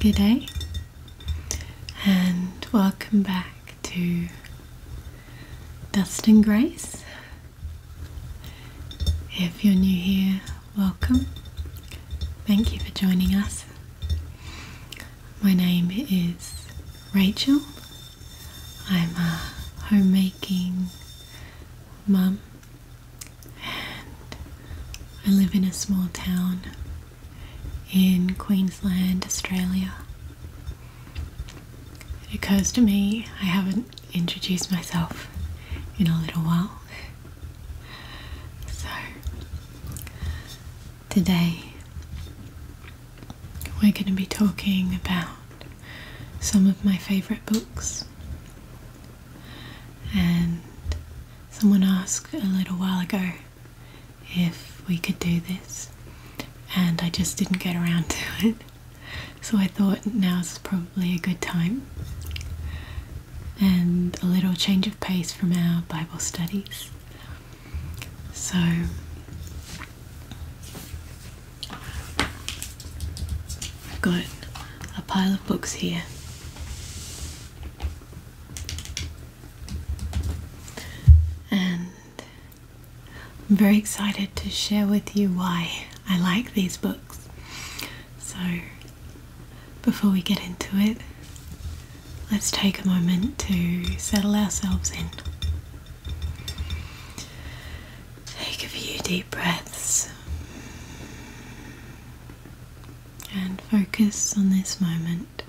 Good day, and welcome back to Dust and Grace. If you're new here, welcome. Thank you for joining us. My name is Rachel. I'm a homemaking mum and I live in a small town in Queensland, Australia. It occurs to me I haven't introduced myself in a little while. So, today we're going to be talking about some of my favourite books. And someone asked a little while ago if we could do this, and I just didn't get around to it. So I thought now is probably probably a good time and a little change of pace from our Bible studies. So, I've got a pile of books here. And I'm very excited to share with you why I like these books. So, before we get into it, let's take a moment to settle ourselves in. Take a few deep breaths and focus on this moment.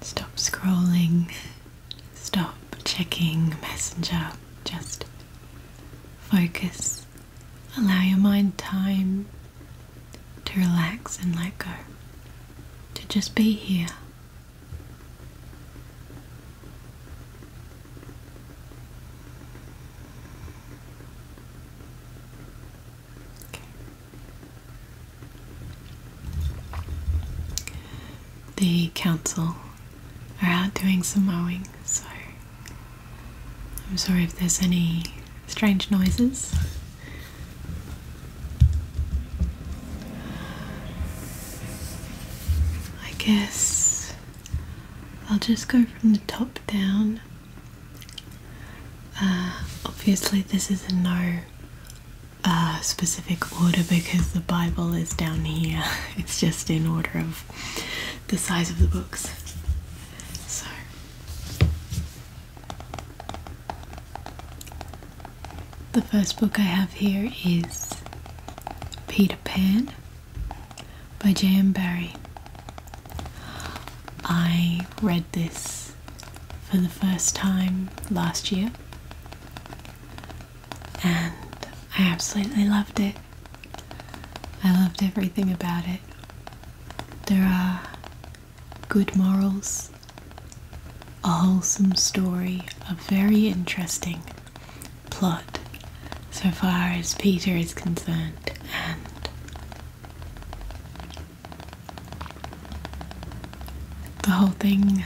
Stop scrolling, stop checking Messenger, just focus allow your mind time to relax and let go, to just be here. The council are out doing some mowing, so I'm sorry if there's any strange noises. I guess I'll just go from the top down. Uh, obviously, this is a no uh, specific order because the Bible is down here, it's just in order of the size of the books. So the first book I have here is Peter Pan by J.M. Barrie. I read this for the first time last year and I absolutely loved it. I loved everything about it. There are good morals, a wholesome story, a very interesting plot so far as Peter is concerned, and the whole thing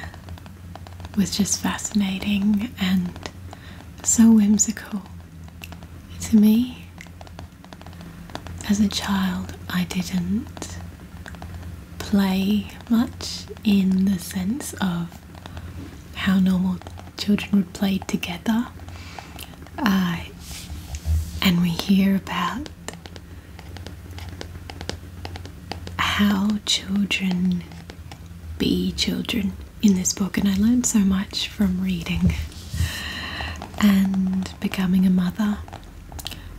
was just fascinating and so whimsical. To me, as a child, I didn't play much in the sense of how normal children would play together. Uh, and we hear about how children be children in this book, and I learned so much from reading and becoming a mother.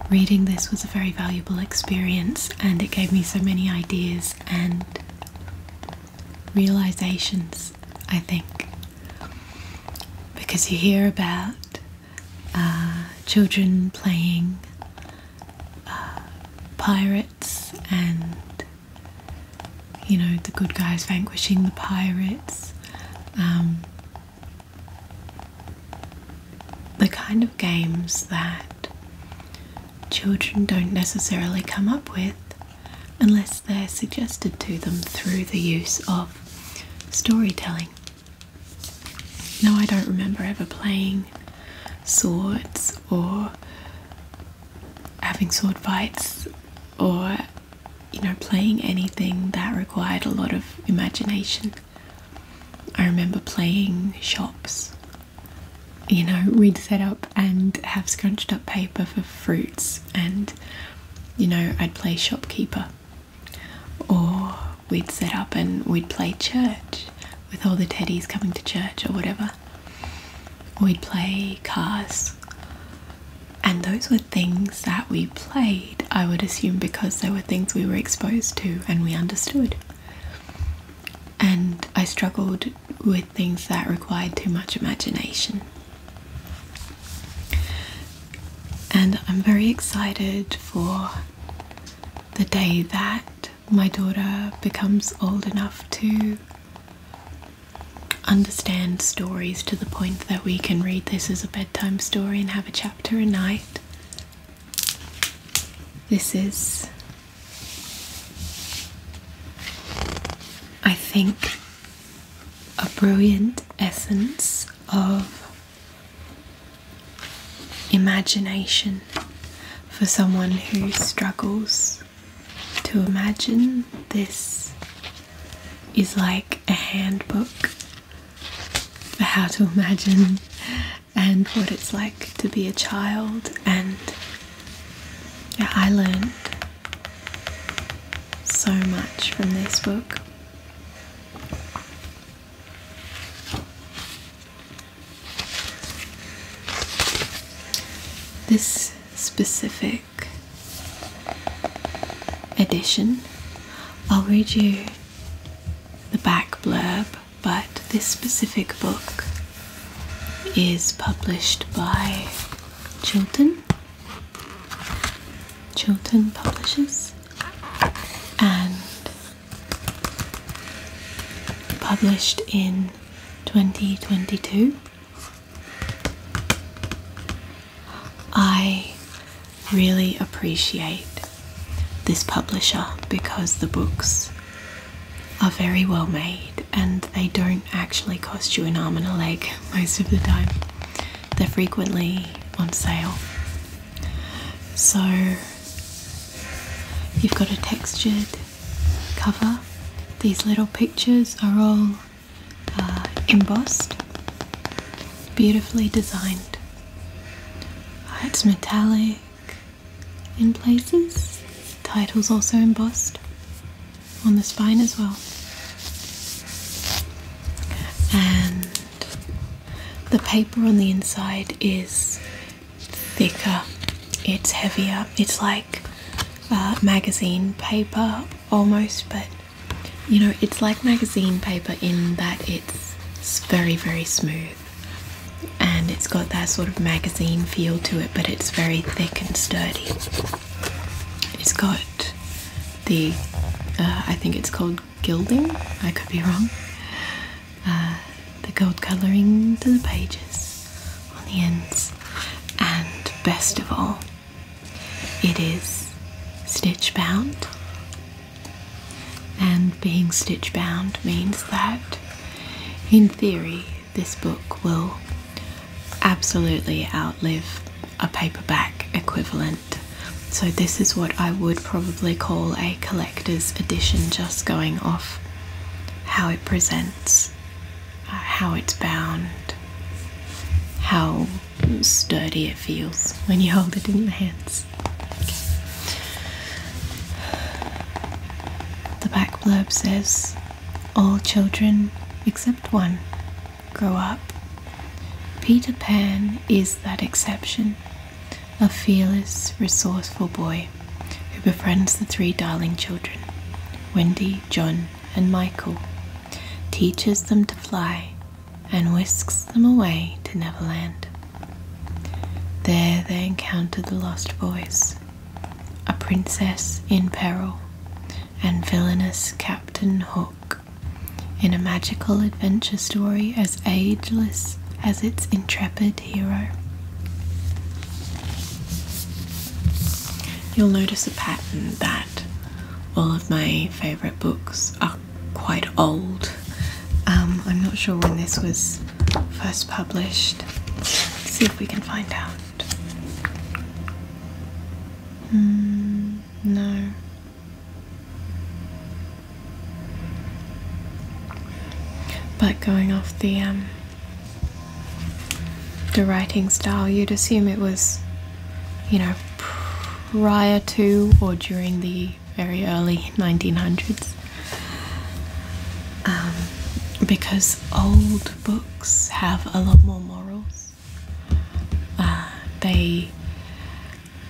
Reading this was a very valuable experience, and it gave me so many ideas and realizations, I think, because you hear about uh, children playing uh, pirates and you know, the good guys vanquishing the pirates. Um, the kind of games that children don't necessarily come up with unless they're suggested to them through the use of storytelling. Now I don't remember ever playing swords or having sword fights or you know playing anything that required a lot of imagination. I remember playing shops. You know, we'd set up and have scrunched up paper for fruits, and you know, I'd play shopkeeper. Or we'd set up and we'd play church with all the teddies coming to church or whatever. We'd play cars. And those were things that we played, I would assume, because they were things we were exposed to and we understood. And I struggled with things that required too much imagination. And I'm very excited for the day that my daughter becomes old enough to understand stories to the point that we can read this as a bedtime story and have a chapter a night. This is, I think, a brilliant essence of imagination for someone who struggles to imagine this is like a handbook for how to imagine and what it's like to be a child and yeah, I learned so much from this book. This specific edition, I'll read you the back blurb, but this specific book is published by Chilton, Chilton Publishers, and published in 2022. I really appreciate this publisher because the books are very well made and they don't actually cost you an arm and a leg most of the time. They're frequently on sale. So you've got a textured cover. These little pictures are all uh, embossed, beautifully designed. it's metallic in places. Titles also embossed on the spine as well. And the paper on the inside is thicker, it's heavier, it's like magazine paper almost, but you know, it's like magazine paper in that it's, very, very smooth and it's got that sort of magazine feel to it, but it's very thick and sturdy. It's got the, uh, I think it's called gilding, I could be wrong. Uh, the gold colouring to the pages on the ends, and best of all, it is stitch bound. And being stitch bound means that, in theory, this book will absolutely outlive a paperback equivalent. So, this is what I would probably call a collector's edition, just going off how it presents. Uh, how it's bound, how sturdy it feels when you hold it in your hands. The back blurb says all children except one grow up. Peter Pan is that exception, a fearless, resourceful boy who befriends the three darling children, Wendy, John, and Michael, teaches them to fly, and whisks them away to Neverland. There they encounter the Lost Boys, a princess in peril, and villainous Captain Hook in a magical adventure story as ageless as its intrepid Wounded Hero. You'll notice a pattern that all of my favourite books are quite old. Um, I'm not sure when this was first published. Let's see if we can find out. Hmm, no. But going off the um, the writing style, you'd assume it was, you know, prior to or during the very early 1900s. Um, because old books have a lot more morals. Uh, they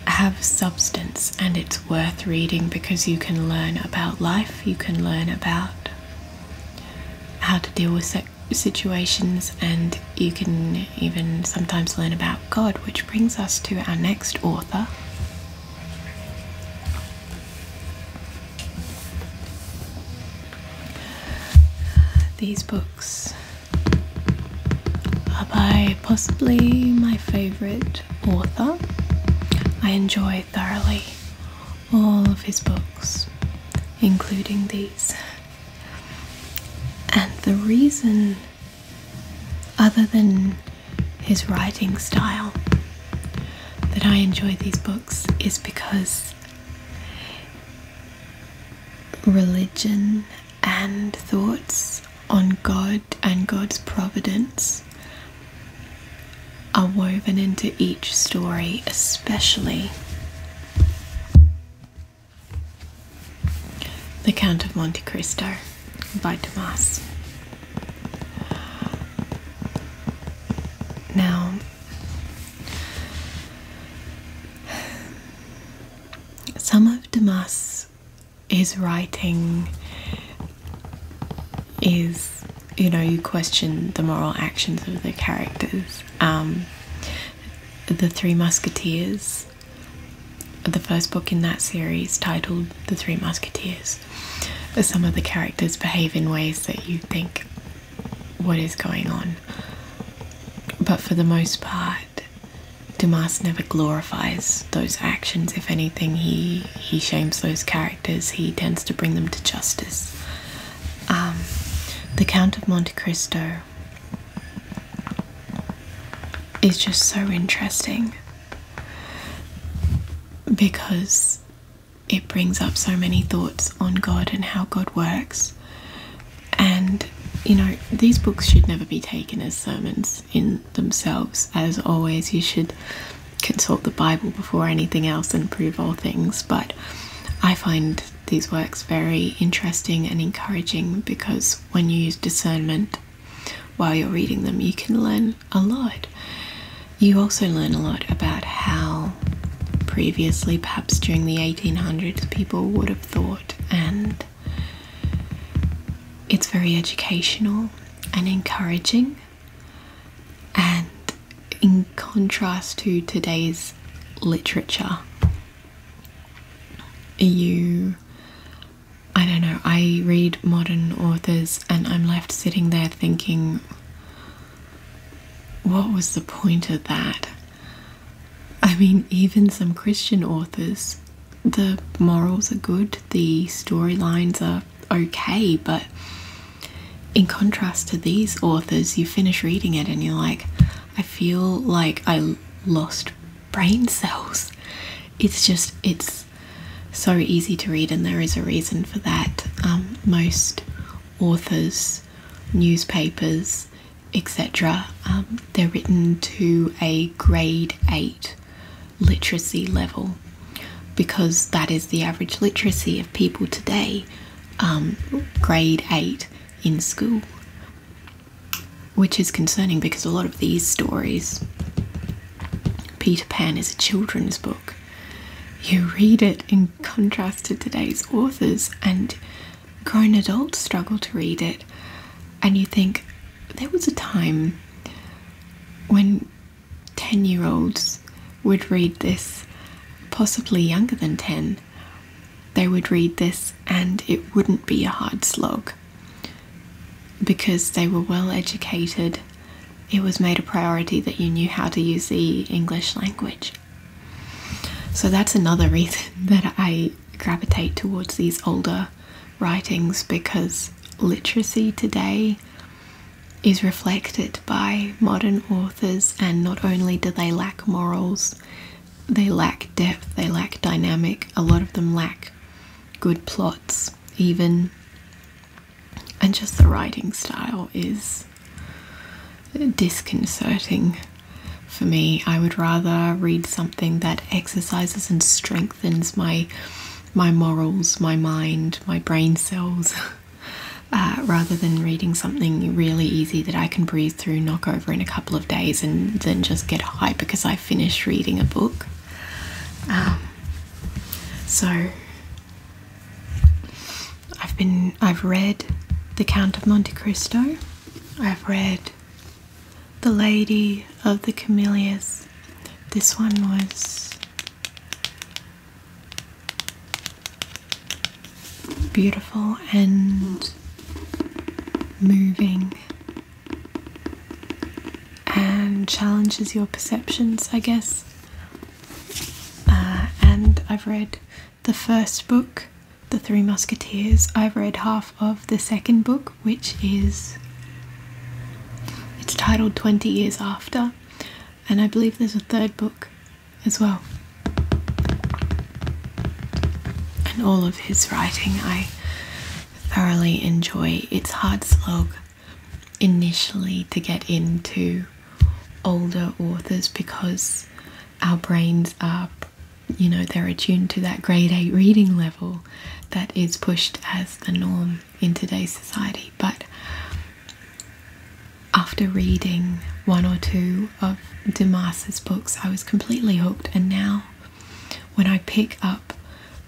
have substance and it's worth reading because you can learn about life, you can learn about how to deal with situations, and you can even sometimes learn about God, which brings us to our next author. These books are by possibly my favourite author. I enjoy thoroughly all of his books, including these. And the reason, other than his writing style, that I enjoy these books is because religion and thoughts on God and God's providence are woven into each story, especially The Count of Monte Cristo by Dumas. Now, some of Dumas is writing is you know you question the moral actions of the characters. Um, the Three Musketeers, the first book in that series titled The Three Musketeers. Some of the characters behave in ways that you think, what is going on? But for the most part, Dumas never glorifies those actions. If anything, he he shames those characters, he tends to bring them to justice. Um, the Count of Monte Cristo is just so interesting because it brings up so many thoughts on God and how God works. And you know, these books should never be taken as sermons in themselves. As always, you should consult the Bible before anything else and prove all things, but I find these works very interesting and encouraging because when you use discernment while you're reading them, you can learn a lot. You also learn a lot about how previously, perhaps during the 1800s, people would have thought, and it's very educational and encouraging and in contrast to today's literature, you I don't know, I read modern authors and I'm left sitting there thinking, what was the point of that? I mean, even some Christian authors, the morals are good, the storylines are okay, but in contrast to these authors, you finish reading it and you're like, I feel like I lost brain cells. It's just, it's so easy to read, and there is a reason for that. Um, most authors, newspapers, etc., um, they're written to a grade 8 literacy level because that is the average literacy of people today, um, grade 8 in school. Which is concerning because a lot of these stories, Peter Pan is a children's book. You read it in contrast to today's authors, and grown adults struggle to read it. And you think, there was a time when 10 year olds would read this, possibly younger than 10, they would read this and it wouldn't be a hard slog because they were well educated. It was made a priority that you knew how to use the English language. So that's another reason that I gravitate towards these older writings because literacy today is reflected by modern authors, and not only do they lack morals, they lack depth, they lack dynamic, a lot of them lack good plots, even. And just the writing style is disconcerting for me. I would rather read something that exercises and strengthens my my morals, my mind, my brain cells, uh, rather than reading something really easy that I can breathe through, knock over in a couple of days, and then just get high because I finished reading a book. Um, so I've been, I've read The Count of Monte Cristo, I've read The Lady of the Camellias. This one was beautiful and moving and challenges your perceptions, I guess. Uh, and I've read the first book, The Three Musketeers. I've read half of the second book, which is it's titled 20 years after and i believe there's a third book as well and all of his writing i thoroughly enjoy it's hard slog initially to get into older authors because our brains are you know they're attuned to that grade 8 reading level that is pushed as the norm in today's society. But after reading one or two of Demas's books, I was completely hooked. And now, when I pick up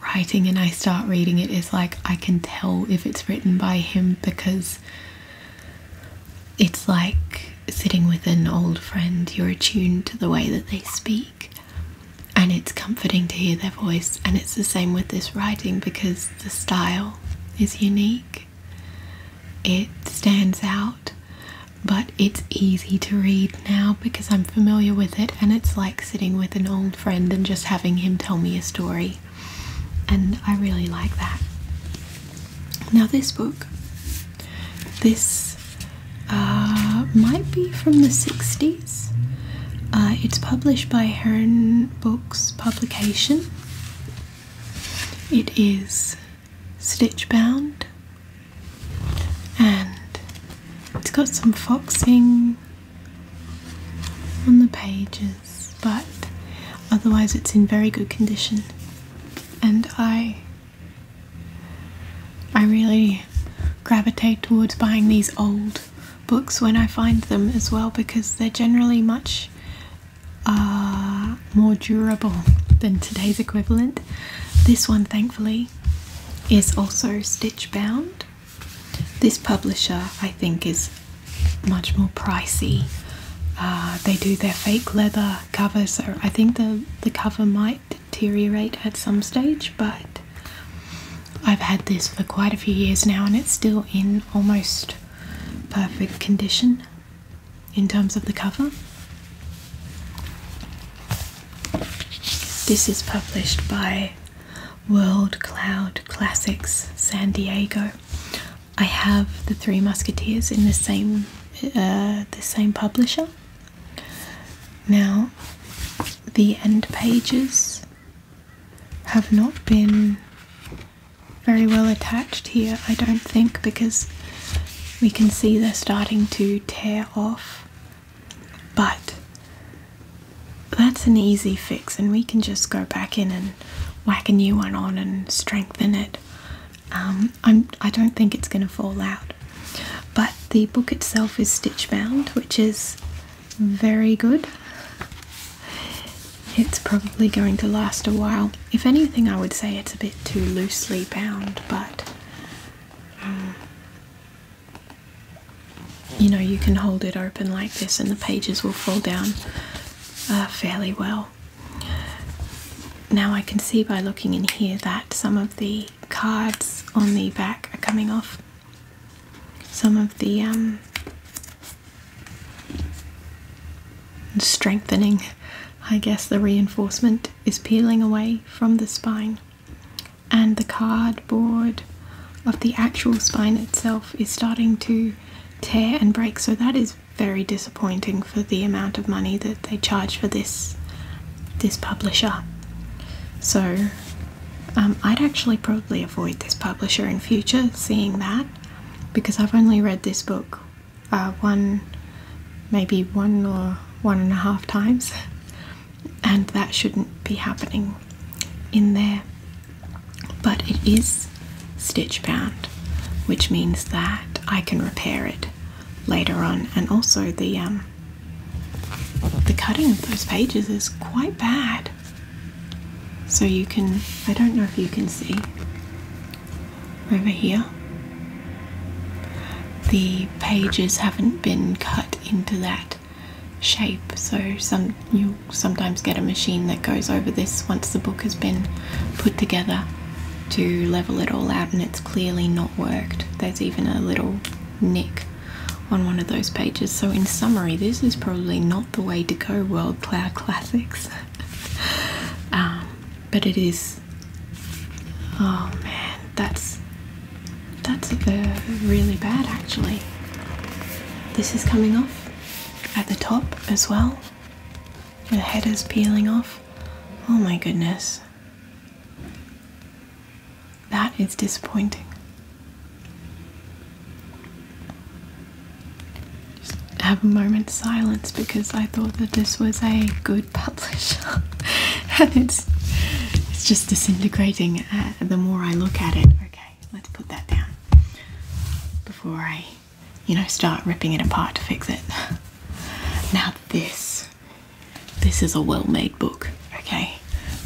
writing and I start reading it, it's like I can tell if it's written by him because it's like sitting with an old friend. You're attuned to the way that they speak and it's comforting to hear their voice, and it's the same with this writing because the style is unique, it stands out, but it's easy to read now because I'm familiar with it, and it's like sitting with an old friend and just having him tell me a story, and I really like that. Now, this book, this uh, might be from the 60s. Uh, it's published by Heron Books Publication. It is stitch bound and it's got some foxing on the pages, but otherwise, it's in very good condition. And I I really gravitate towards buying these old books when I find them as well because they're generally much uh, more durable than today's equivalent. This one, thankfully, is also stitch bound. This publisher, I think, is much more pricey. Uh, they do their fake leather cover, so I think the the cover might deteriorate at some stage, but I've had this for quite a few years now and it's still in almost perfect condition in terms of the cover. This is published by World Cloud Classics San Diego. I have the Three Musketeers in the same uh, the same publisher now, the end pages have not been very well attached here, I don't think, because we can see they're starting to tear off. But that's an easy fix, and we can just go back in and whack a new one on and strengthen it. Um, I don't think it's going to fall out. But the book itself is stitch bound, which is very good. It's probably going to last a while. If anything, I would say it's a bit too loosely bound, but uh, you know, you can hold it open like this and the pages will fall down uh, fairly well. Now I can see by looking in here that some of the cards on the back are coming off. Some of the um, strengthening, I guess the reinforcement is peeling away from the spine, and the cardboard of the actual spine itself is starting to tear and break. So that is very disappointing for the amount of money that they charge for this this publisher. So um, I'd actually probably avoid this publisher in future, seeing that, because I've only read this book uh, one, maybe one or one and a half times, and that shouldn't be happening in there. But it is stitch bound, which means that I can repair it later on, and also the um, the cutting of those pages is quite bad. So you can, I don't know if you can see over here, the pages haven't been cut into that shape. So some you sometimes get a machine that goes over this once the book has been put together to level it all out and it's clearly not worked. There's even a little nick on one of those pages. So, in summary, this is probably not the way to go, World Cloud Classics. Um, but it is. Oh man, that's that's really bad actually. This is coming off at the top as well. The head is peeling off. Oh my goodness. That is disappointing. have a moment of silence because I thought that this was a good publisher, and it's it's just disintegrating. Uh, the more I look at it, okay, let's put that down before I, you know, start ripping it apart to fix it. Now this this. is a well made book, okay?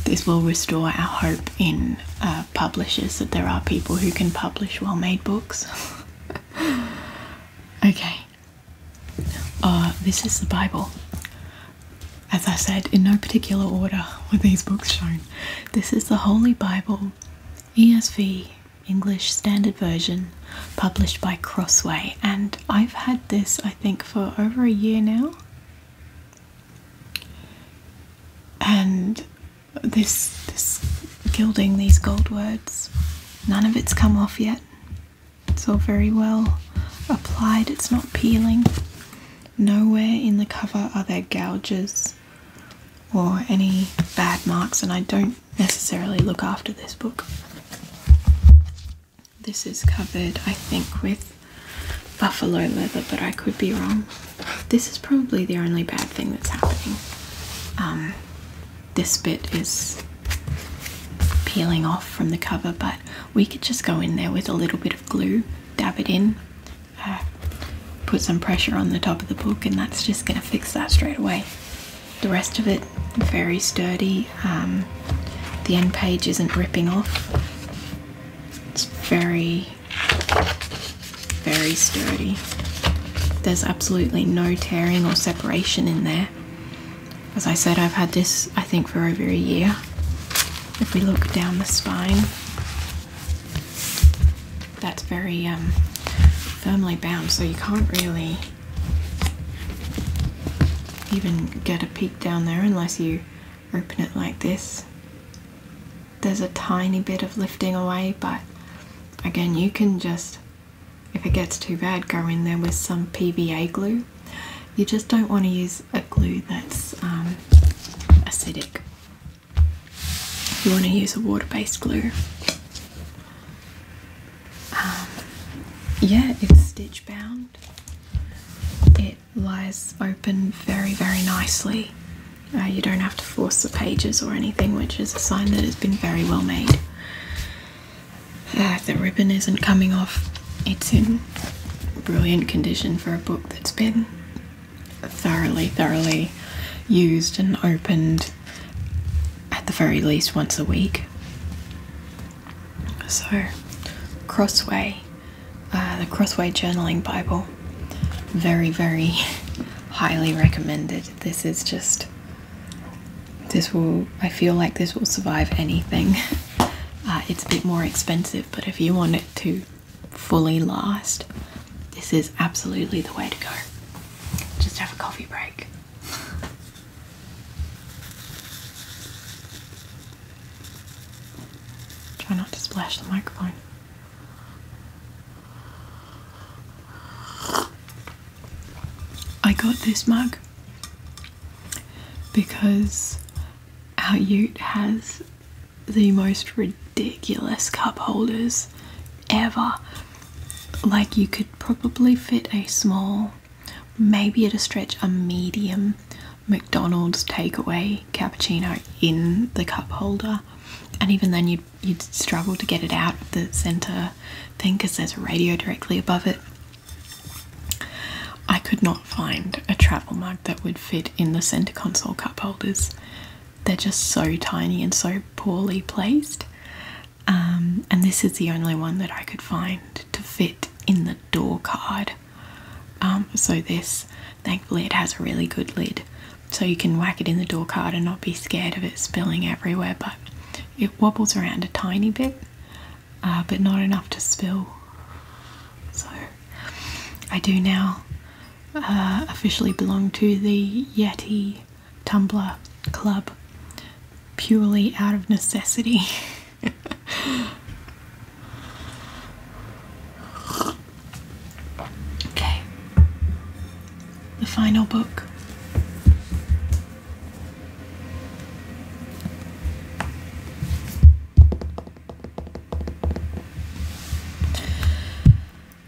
This will restore our hope in uh, publishers that there are people who can publish well made books. okay. Uh, this is the Bible. As I said, in no particular order were these books shown. This is the Holy Bible, ESV, English Standard Version, published by Crossway, and I've had this I think for over a year now. And this this gilding, these gold words, none of it's come off yet. It's all very well applied, it's not peeling. Nowhere in the cover are there gouges or any bad marks, and I don't necessarily look after this book. This is covered, I think, with buffalo leather, but I could be wrong. This is probably the only bad thing that's happening. Um, this bit is peeling off from the cover, but we could just go in there with a little bit of glue, dab it in, uh, put some pressure on the top of the book, and that's just going to fix that straight away. The rest of it, very sturdy, um, the end page isn't ripping off. It's very, very sturdy. There's absolutely no tearing or separation in there. As I said, I've had this, I think, for over a year. If we look down the spine, that's very um, firmly bound, so you can't really even get a peek down there unless you open it like this. There's a tiny bit of lifting away, but again, you can just, if it gets too bad, go in there with some PVA glue. You just don't want to use a glue that's um, acidic. You want to use a water-based glue. Um, yeah, it's stitch bound. It lies open very, very nicely. Uh, you don't have to force the pages or anything, which is a sign that it's been very well made. Uh, the ribbon isn't coming off. It's in brilliant condition for a book that's been thoroughly, thoroughly used and opened at the very least once a week. So, Crossway, uh, the Crossway Journaling Bible, very, very highly recommended. This is just, this will, I feel like this will survive anything. Uh, it's a bit more expensive, but if you want it to fully last, this is absolutely the way to go. Just have a coffee break. Try not to splash the microphone. I got this mug because our ute has the most ridiculous cup holders ever. Like, you could probably fit a small maybe at a stretch a medium McDonald's takeaway cappuccino in the cup holder, and even then you'd struggle to get it out of the center thing because there's a radio directly above it. I could not find a travel mug that would fit in the center console cup holders. They're just so tiny and so poorly placed. Um, and this is the only one that I could find to fit in the door card. Um, so this, thankfully it has a really good lid so you can whack it in the door card and not be scared of it spilling everywhere but it wobbles around a tiny bit uh, but not enough to spill. So I do now uh, officially belong to the Yeti Tumblr Club purely out of necessity. okay, the final book.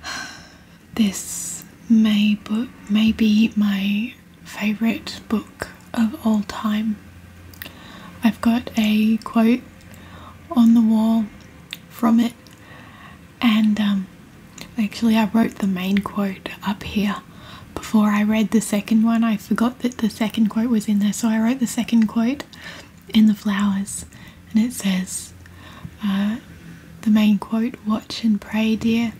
This may, but may be my favourite book of all time. I've got a quote on the wall from it, and um, actually, I wrote the main quote up here. Before I read the second one, I forgot that the second quote was in there, so I wrote the second quote in the flowers, and it says, uh, The main quote, watch and pray, dear.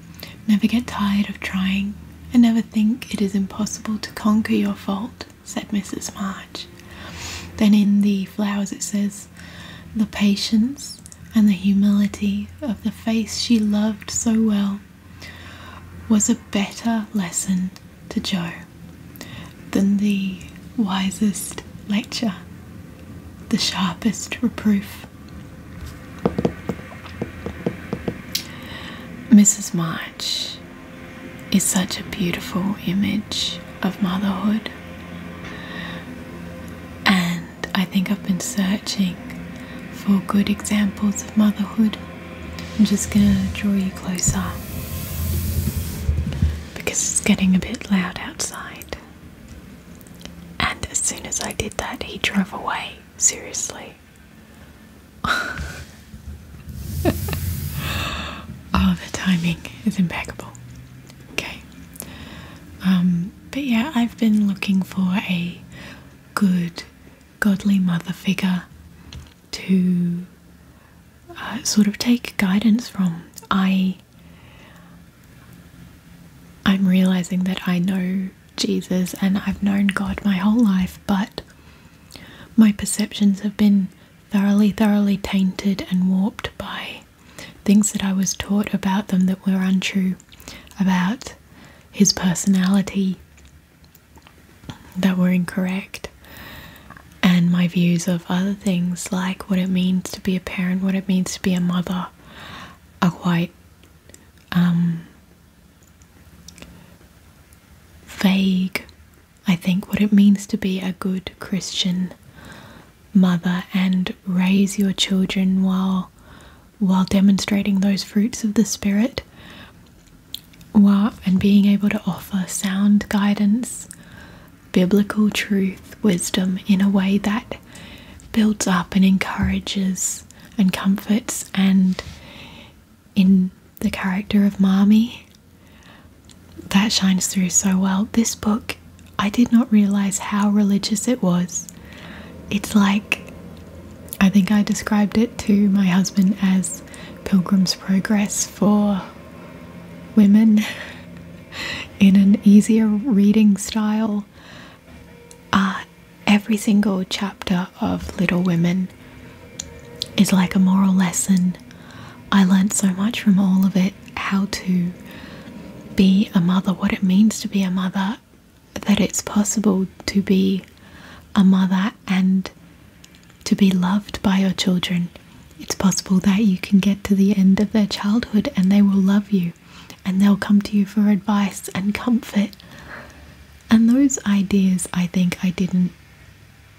Never get tired of trying. I never think it is impossible to conquer your fault, said Mrs. March. Then in the flowers it says, the patience and the humility of the face she loved so well was a better lesson to Joe than the wisest lecture, the sharpest reproof. Mrs. March is such a beautiful image of motherhood, and I think I've been searching for good examples of motherhood. I'm just going to draw you closer because it's getting a bit loud outside. And as soon as I did that, he drove away. Seriously. oh, the timing is impeccable. Okay. Um, but yeah, I've been looking for a good, godly mother figure to uh, sort of take guidance from. I. I'm realizing that I know Jesus and I've known God my whole life, but my perceptions have been thoroughly, thoroughly tainted and warped by things that I was taught about them that were untrue, about his personality that were incorrect, and my views of other things like what it means to be a parent, what it means to be a mother, are quite um, vague, I think, what it means to be a good Christian mother and raise your children while while demonstrating those fruits of the spirit while, and being able to offer sound guidance biblical truth wisdom in a way that builds up and encourages and comforts and in the character of Marmee that shines through so well. This book, I did not realize how religious it was. It's like, I think I described it to my husband as Pilgrim's Progress for women in an easier reading style. Uh, every single chapter of Little Women is like a moral lesson. I learned so much from all of it how to be a mother, what it means to be a mother, that it's possible to be a mother and to be loved by your children. It's possible that you can get to the end of their childhood and they will love you and they'll come to you for advice and comfort. And those ideas, I think, I didn't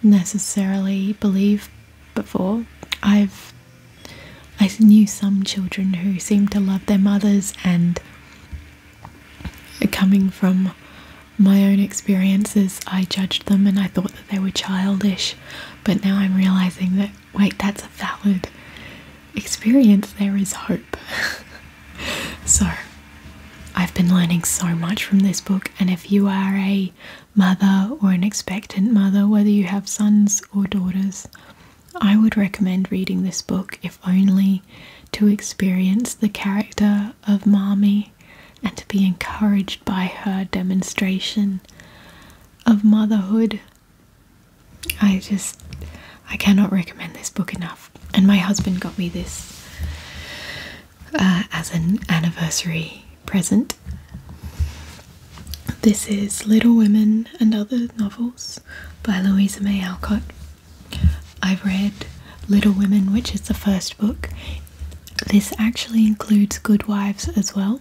necessarily believe before. I've I knew some children who seemed to love their mothers, and coming from my own experiences, I judged them and I thought that they were childish. But now I'm realizing that wait, that's a valid experience, there is hope. so, I've been learning so much from this book, and if you are a mother or an expectant mother, whether you have sons or daughters, I would recommend reading this book if only to experience the character of Marmee and to be encouraged by her demonstration of motherhood I just I cannot recommend this book enough. And my husband got me this uh, as an anniversary present. This is Little Women and Other Novels by Louisa May Alcott. I've read Little Women, which is the first book. This actually includes Good Wives as well.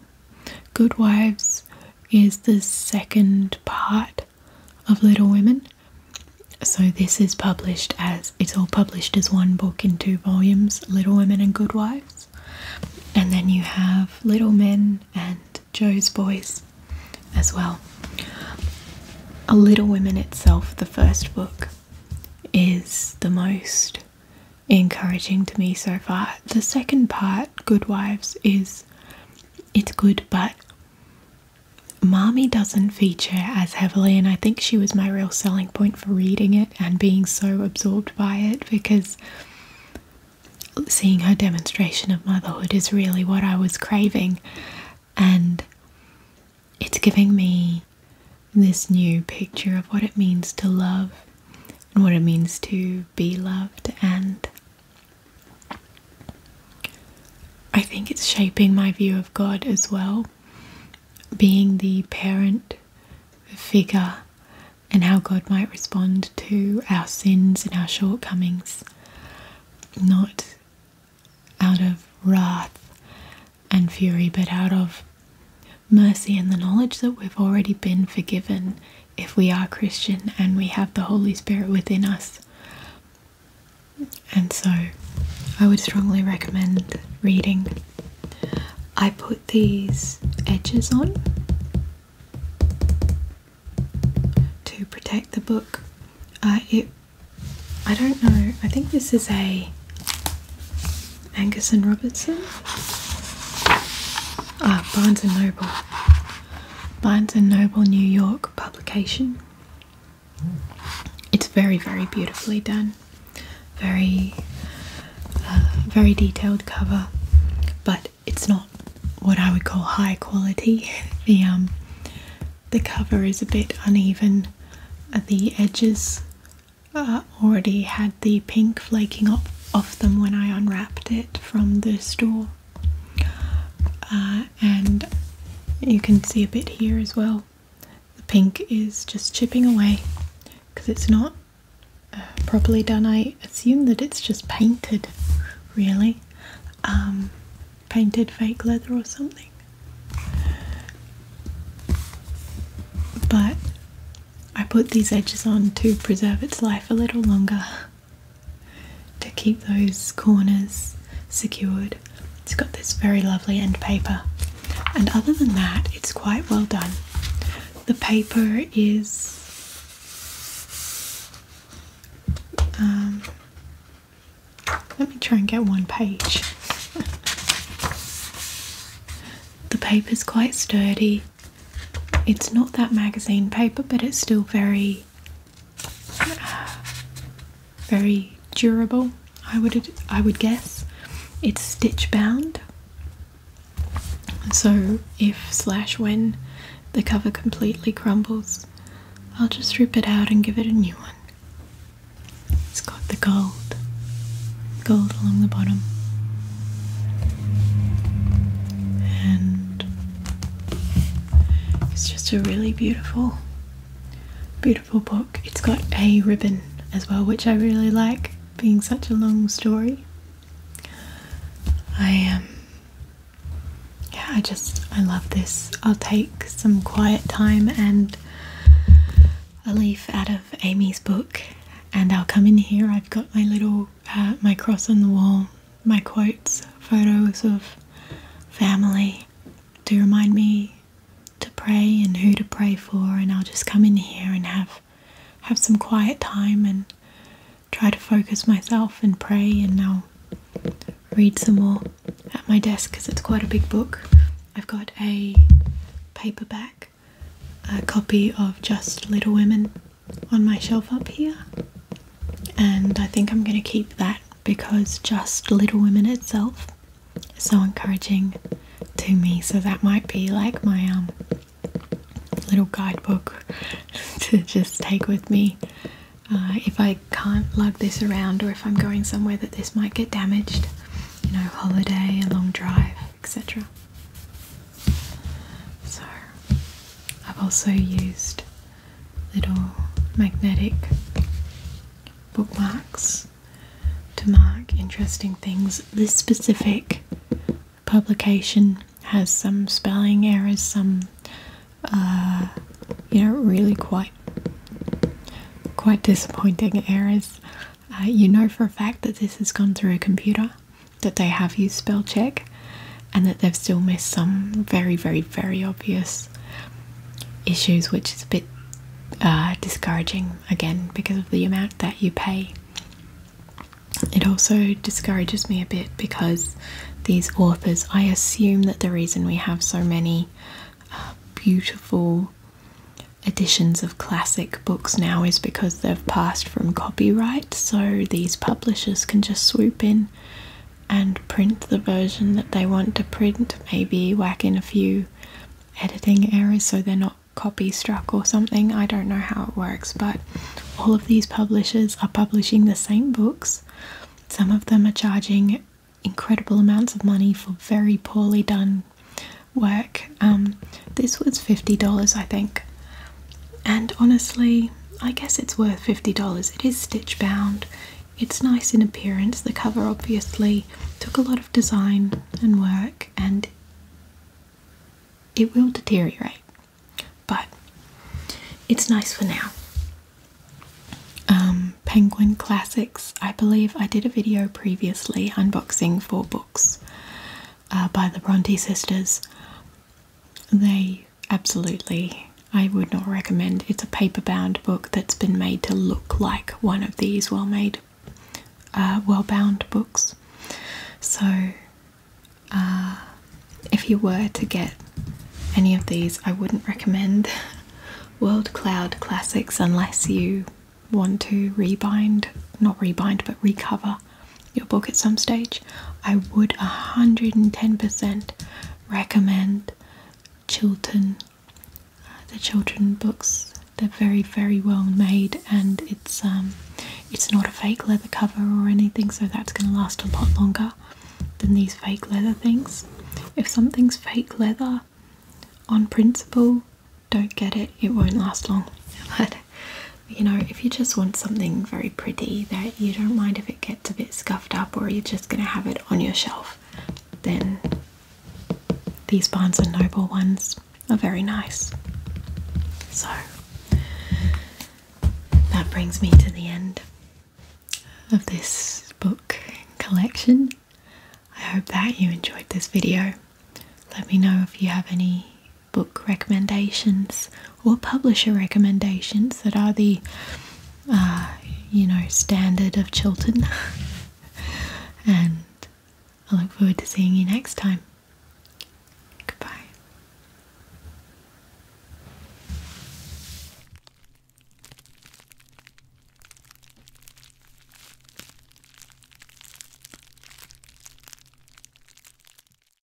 Good Wives is the second part of Little Women. So this is published as it's all published as one book in two volumes, Little Women and Good Wives. And then you have Little Men and Joe's Boys as well. A Little Women itself, the first book, is the most encouraging to me so far. The second part, Good Wives, is it's good but Mommy doesn't feature as heavily, and I think she was my real selling point for reading it and being so absorbed by it because seeing her demonstration of motherhood is really what I was craving, and it's giving me this new picture of what it means to love and what it means to be loved and I think it's shaping my view of God as well, being the parent figure and how God might respond to our sins and our shortcomings, not out of wrath and fury, but out of mercy and the knowledge that we've already been forgiven if we are Christian and we have the Holy Spirit within us. And so I would strongly recommend reading. I put these edges on to protect the book. Uh, it, I don't know. I think this is a Angus and Robertson. Ah, Barnes and Noble. Barnes and Noble, New York publication. It's very, very beautifully done, very, uh, very detailed cover, but it's not what I would call high quality. The um, the cover is a bit uneven. Uh, the edges uh, already had the pink flaking off, off them when I unwrapped it from the store, uh, and you can see a bit here as well the pink is just chipping away because it's not uh, properly done I assume that it's just painted really um, painted fake leather or something but I put these edges on to preserve its life a little longer to keep those corners secured. It's got this very lovely end paper, and other than that, it's quite well done. The paper is um, let me try and get one page. the paper's quite sturdy. It's not that magazine paper, but it's still very very durable. I would I would guess it's stitch bound. So if slash when the cover completely crumbles, I'll just rip it out and give it a new one. It's got the gold, gold along the bottom, and it's just a really beautiful, beautiful book. It's got a ribbon as well, which I really like, being such a long story. I am. Um, yeah, I just I love this. I'll take some quiet time and a leaf out of Amy's book, and I'll come in here. I've got my little uh, my cross on the wall my quotes, photos of family to remind me to pray and who to pray for and I'll just come in here and have have some quiet time and try to focus myself and pray and I'll read some more at my desk because it's quite a big book. I've got a paperback a copy of Just Little Women on my shelf up here and I think I'm going to keep that because just Little Women itself is so encouraging to me so that might be like my um, little guidebook to just take with me uh, if I can't lug this around or if I'm going somewhere that this might get damaged you know holiday a long drive etc so I've also used little magnetic bookmarks to mark interesting things. This specific publication has some spelling errors, some uh, you know really quite quite disappointing errors. Uh, you know for a fact that this has gone through a computer that they have used spell check and that they've still missed some very, very, very obvious issues, which is a bit uh, discouraging again because of the amount that you pay. It also discourages me a bit because these authors, I assume that the reason we have so many uh, beautiful editions of classic books now is because they've passed from copyright, so these publishers can just swoop in and print the version that they want to print, maybe whack in a few editing errors so they're not copy struck or something. I don't know how it works, but all of these publishers are publishing the same books. Some of them are charging incredible amounts of money for very poorly done work. Um, this was $50, I think and honestly, I guess it's worth $50. It is stitch bound, it's nice in appearance. The cover obviously took a lot of design and work, and it will deteriorate, but it's nice for now. Um, Penguin Classics. I believe I did a video previously unboxing four books uh, by the Bronte sisters. They Absolutely. I would not recommend it's a paper-bound book that's been made to look like one of these well-made uh, well-bound books. So uh, if you were to get any of these, I wouldn't recommend World Cloud Classics unless you want to rebind, not rebind, but recover your book at some stage, I would 110% recommend Chilton. the children books. They're very, very well made, and it's um, it's not a fake leather cover or anything, so that's going to last a lot longer than these fake leather things. If something's fake leather on principle, don't get it, it won't last long. you know, if you just want something very pretty that you don't mind if it gets a bit scuffed up or you're just going to have it on your shelf, then these Barnes and Noble ones are very nice. So that brings me to the end of this book collection. I hope that you enjoyed this video. Let me know if you have any book recommendations or publisher recommendations that are the uh, you know standard of Chilton. and I look forward to seeing you next time. Goodbye.